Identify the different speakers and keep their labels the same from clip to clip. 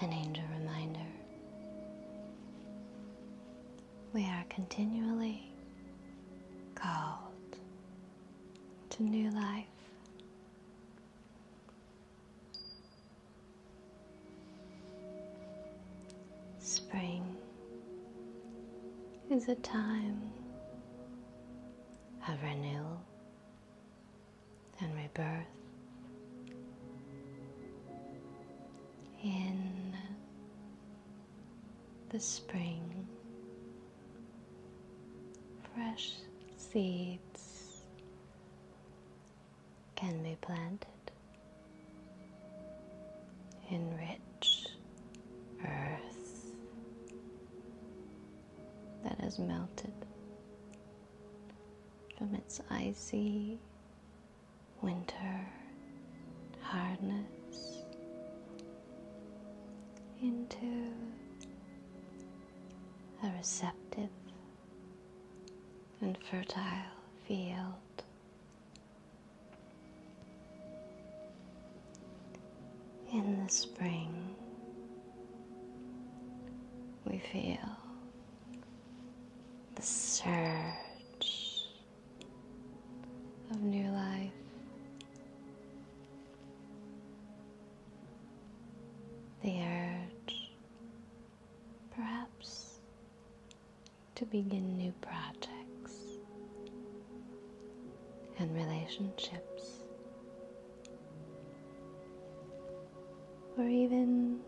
Speaker 1: An angel reminder. We are continually called to new life. Spring is a time of renewal and rebirth. In the spring Fresh seeds can be planted in rich earth that has melted from its icy winter hardness into a receptive and fertile field. In the spring, we feel the surge of new life the urge perhaps to begin new projects and relationships, or even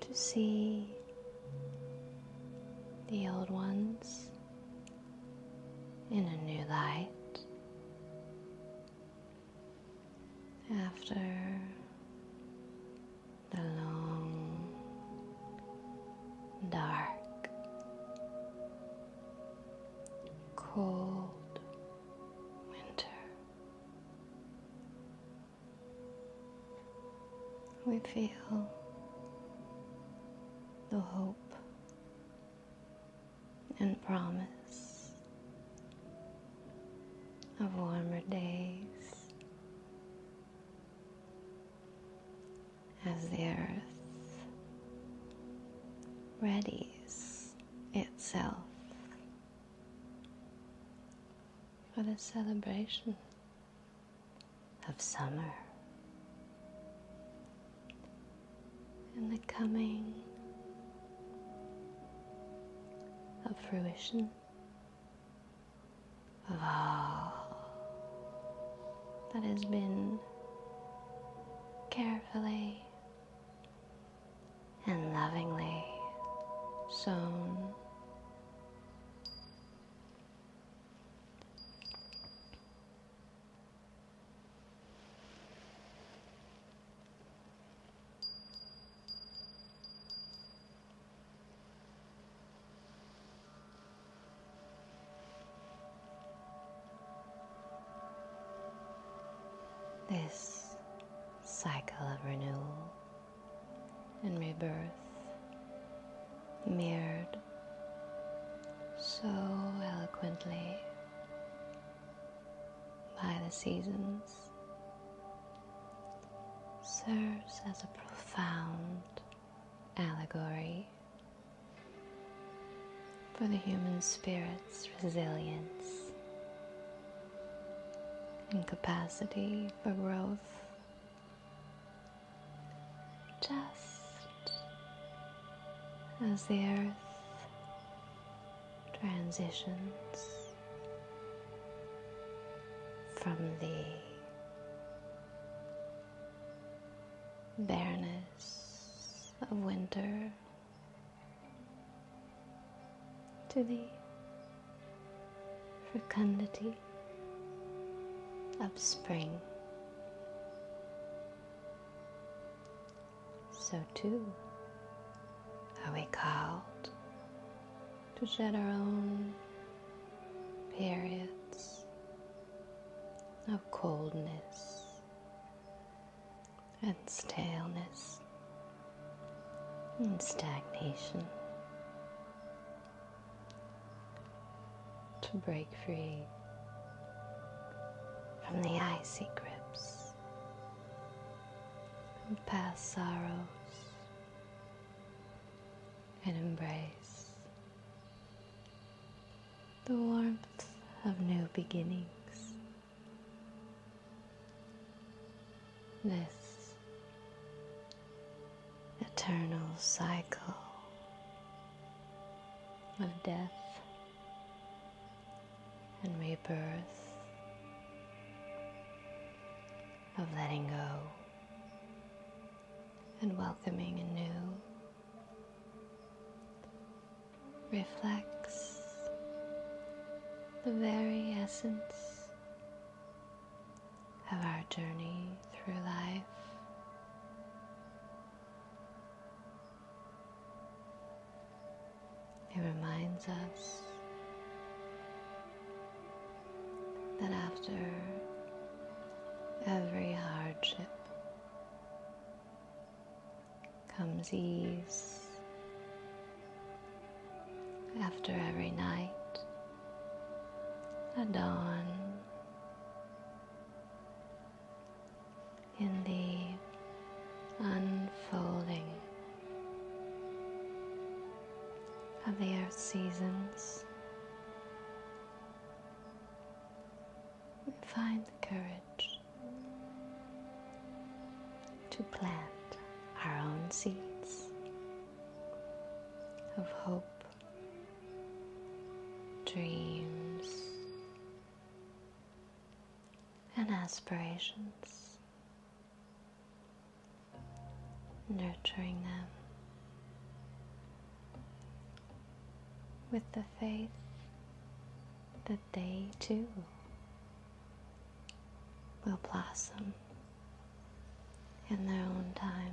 Speaker 1: to see the old ones in a new light after the long, dark, cold winter. We feel the hope and promise of warmer days as the earth readies itself for the celebration of summer and the coming of fruition of all that has been carefully and lovingly sown. This cycle of renewal and rebirth mirrored so eloquently by the seasons, serves as a profound allegory for the human spirit's resilience and capacity for growth just as the earth transitions from the bareness of winter to the fecundity of spring. So, too, are we called to shed our own periods of coldness and staleness and stagnation to break free from the icy grips of past sorrows and embrace the warmth of new beginnings. This eternal cycle of death and rebirth, of letting go and welcoming anew, reflects the very essence of our journey through life it reminds us that after every hardship comes ease. After every night, a dawn in the unfolding of the earth seasons. Find the courage to plant our own seeds of hope dreams, and aspirations, nurturing them with the faith that they too will blossom in their own time.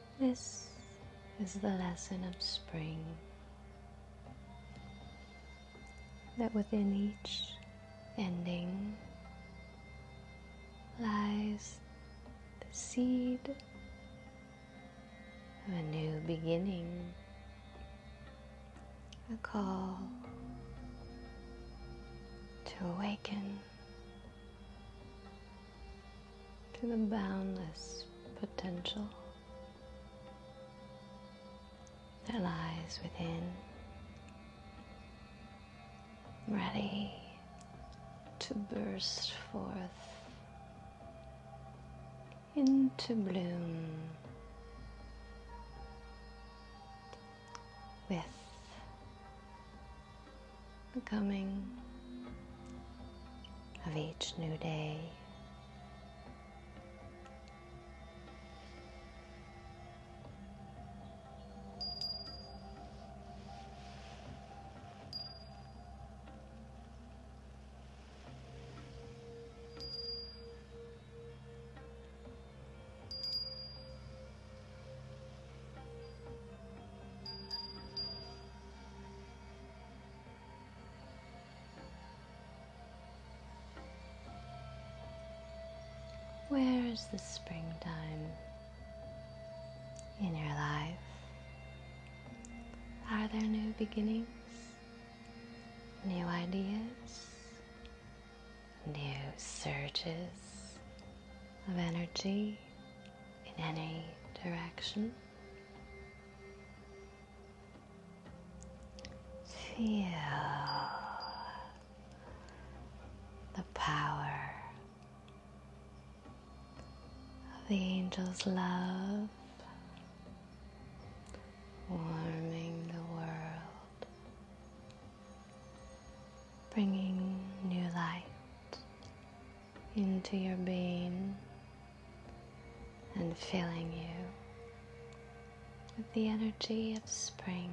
Speaker 1: This is the lesson of spring that within each ending lies the seed of a new beginning, a call to awaken, to the boundless potential that lies within. Ready to burst forth into bloom with the coming of each new day. Where is the springtime in your life? Are there new beginnings, new ideas, new surges of energy in any direction. Feel the power of the angel's love warming the world, bringing new light into your being and filling you with the energy of spring.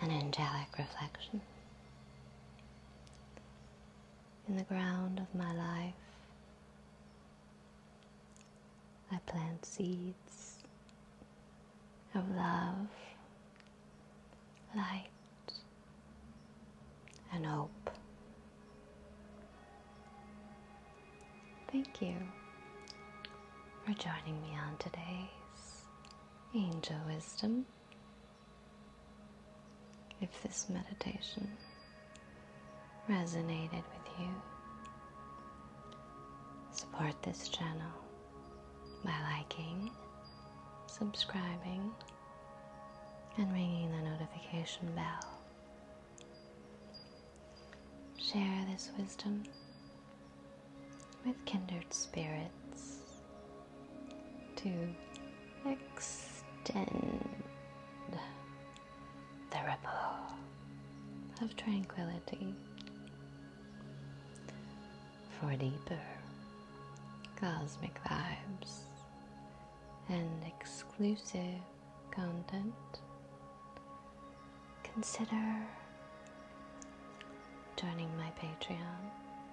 Speaker 1: An angelic reflection in the ground of my life. I plant seeds of love, light, and hope. Thank you for joining me on today's Angel Wisdom. If this meditation resonated with you, support this channel by liking, subscribing, and ringing the notification bell. Share this wisdom with kindred spirits to extend the ripple of tranquility for deeper cosmic vibes and exclusive content, consider joining my Patreon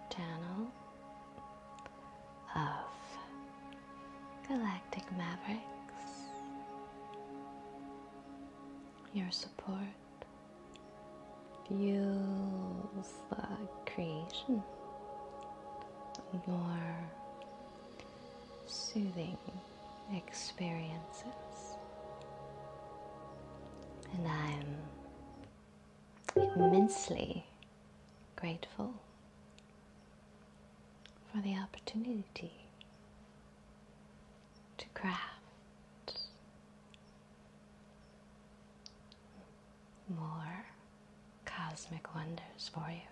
Speaker 1: channel of Galactic Mavericks. Your support fuels like creation of more soothing experiences. And I'm immensely grateful for the opportunity to craft more cosmic wonders for you.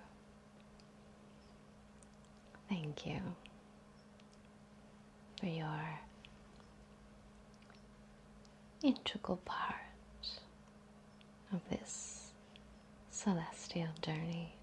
Speaker 1: Thank you for your integral part of this celestial journey.